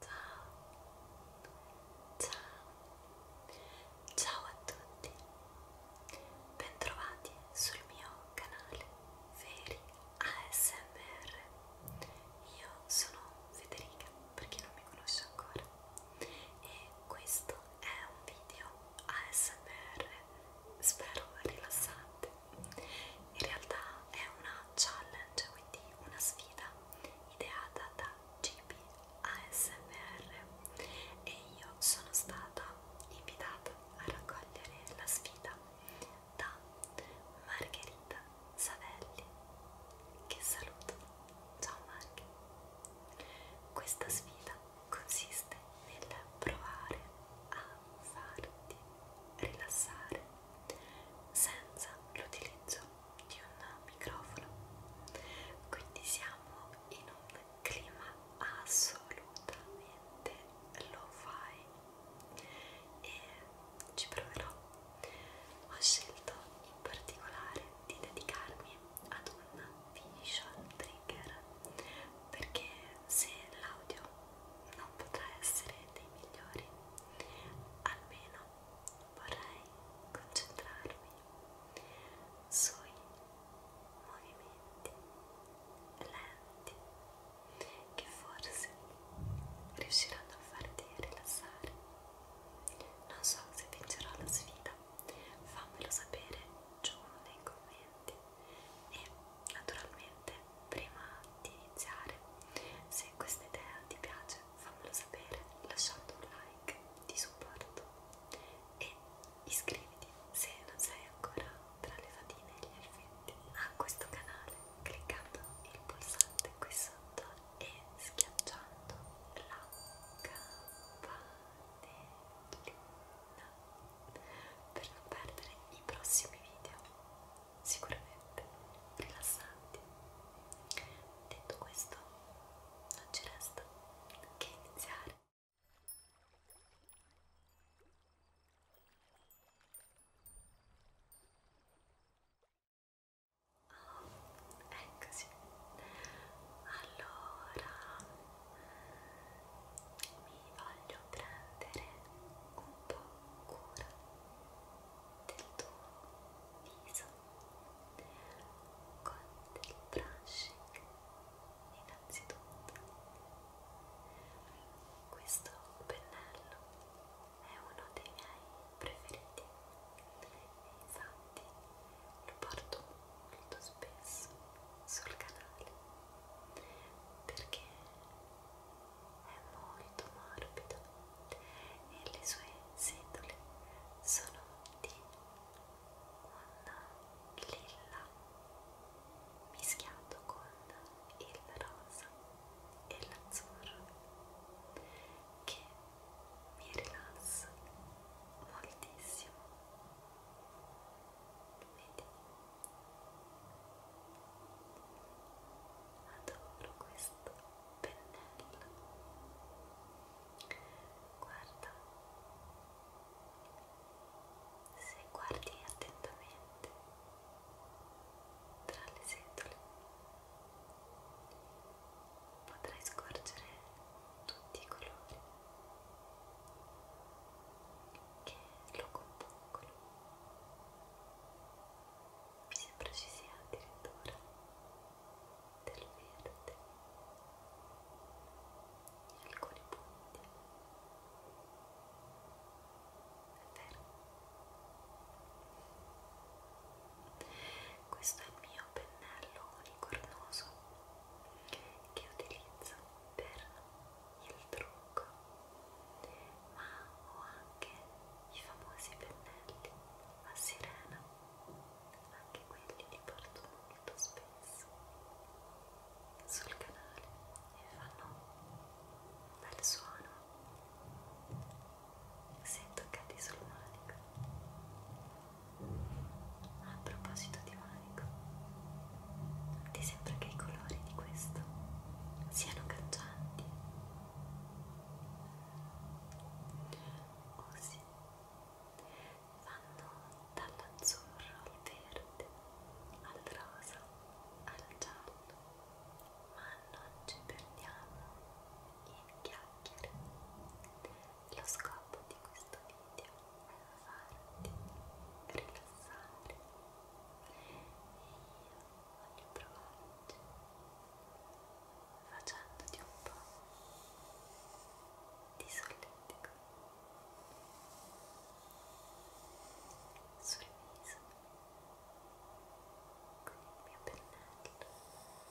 Ciao, ciao, ciao a tutti, bentrovati sul mio canale Veri ASMR. Io sono Federica, per chi non mi conosce ancora, e questo è un video ASMR, spero rilassante in realtà è una challenge, quindi una sfida ideata da GB ASMR e io sono stata invitata a raccogliere la sfida da Margherita Savelli che saluto, ciao Marghe questa sfida consiste nel provare a farti rilassare senza l'utilizzo di un microfono quindi siamo in un clima assolutamente lo fai e ci proverò ho scelto in particolare di dedicarmi ad un visual trigger perché se l'audio non potrà essere dei migliori almeno vorrei concentrarmi sui movimenti lenti che forse riusciranno a farti rilassare. Non so se vincerò la sfida, fammelo sapere giù nei commenti e naturalmente prima di iniziare se questa idea ti piace fammelo sapere lasciando un like di supporto e iscriviti se non sei ancora tra le fatine e gli effetti a questo canale cliccando il pulsante qui sotto e schiacciando la campanellina per non perdere i prossimi video sicuramente rilassanti. Detto questo, non ci resta che iniziare. Oh, eccoci. Allora, mi voglio prendere un po' cura del tuo viso con del brushing innanzitutto questo pennello è uno dei miei preferiti e infatti lo porto molto spesso sul canale perché è molto morbido e le sue setole sono di un lilla mischiato con il rosa e l'azzurro che mi rilassa moltissimo vedi adoro questo pennello guarda se guardi attentamente tra le setole potrai scorgere tutti i colori che lo compongono mi sembra ci sia addirittura del verde in alcuni punti è vero questo è il mio pennello unicornoso che utilizzo per il trucco ma ho anche i famosi pennelli ma sirena, anche quelli li porto molto spesso sul canale e fanno un bel suono se toccati sul manico. A proposito di manico, ti sembra che i colori di questo siano cangianti? così vanno dall'azzurro al verde al rosa al giallo ma non ci perdiamo in chiacchiere lo scopo di questo video è farti rilassare e io voglio provarci facendoti un po' di solletico sul viso con il mio pennello Ora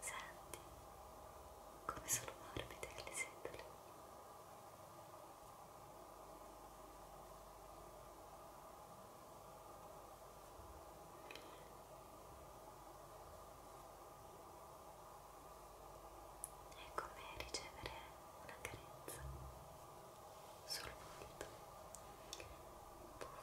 Senti come sono morbide le setole. È come ricevere una carezza sul volto. Puff.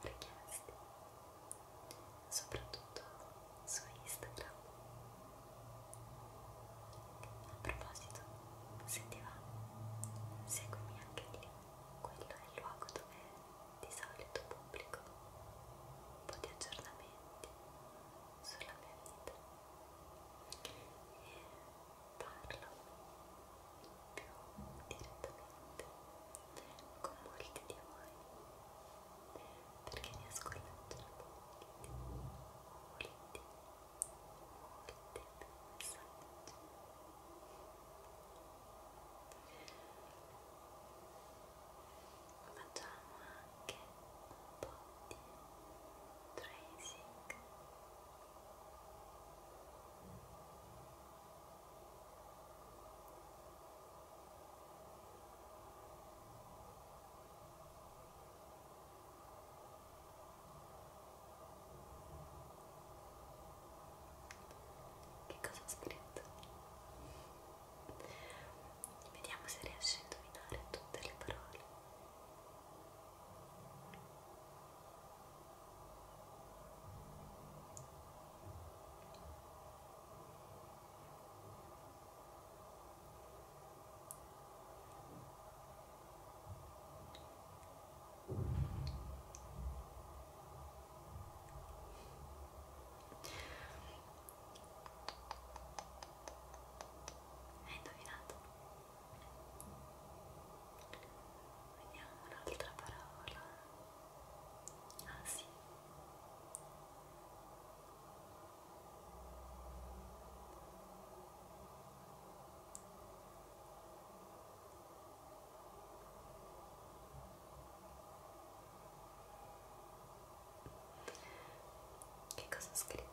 richieste soprattutto su Instagram a proposito se ti va seguimi anche lì quello è il luogo dove di solito pubblico un po' di aggiornamenti sulla mia vita e parlo più direttamente con molti di voi perché riesco a leggere molti, molti, molti messaggi facciamo anche un po' di tracing che cosa ho scritto? Vediamo se riesci a indovinare tutte le parole. Hai indovinato? Vediamo un'altra parola. Ah sì. Che cosa ho scritto?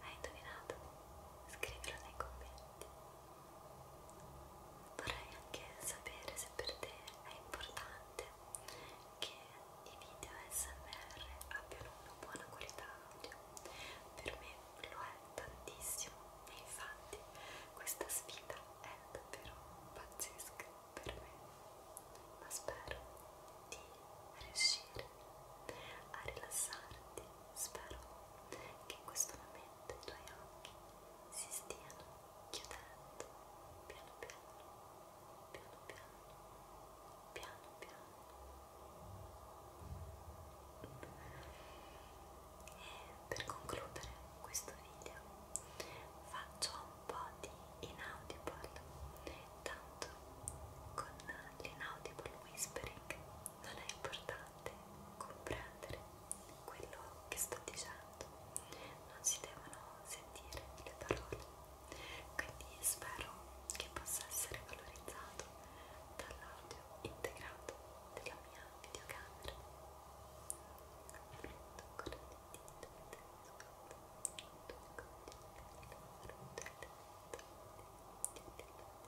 Hai indovinato? Scrivilo nei commenti. Vorrei anche sapere se per te è importante che i video SMR abbiano una buona qualità audio. Per me lo è tantissimo e infatti questa sfida è davvero pazzesca per me. Ma spero di riuscire a rilassarti. Spero che in questo momento i tuoi occhi si stiano chiudendo piano piano, piano piano, piano piano. E per concludere questo video faccio un po' di inaudible tanto con l'inaudible whispering non è importante comprendere quello che sto dicendo, non si devono sentire le parole, quindi spero che possa essere valorizzato dall'audio integrato della mia videocamera. Tocco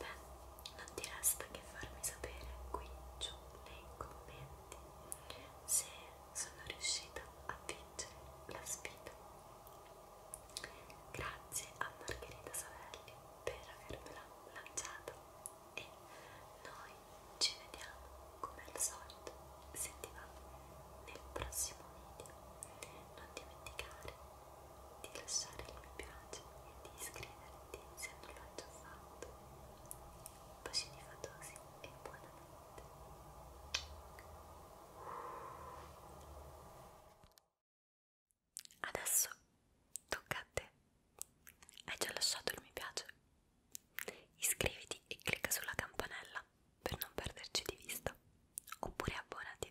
Beh, non ti resta che farmi sapere qui giù nei commenti se sono riuscita a vincere la sfida. Grazie a Margherita Savelli per avermela lanciata e noi ci vediamo come al solito se ti va nel prossimo video. Non dimenticare di lasciare il mi piace e di iscriverti se non l'hai già fatto. Bacini fatosi e buonanotte. Adesso tocca a te. Hai già lasciato il mi piace? Iscriviti e clicca sulla campanella per non perderci di vista. Oppure abbonati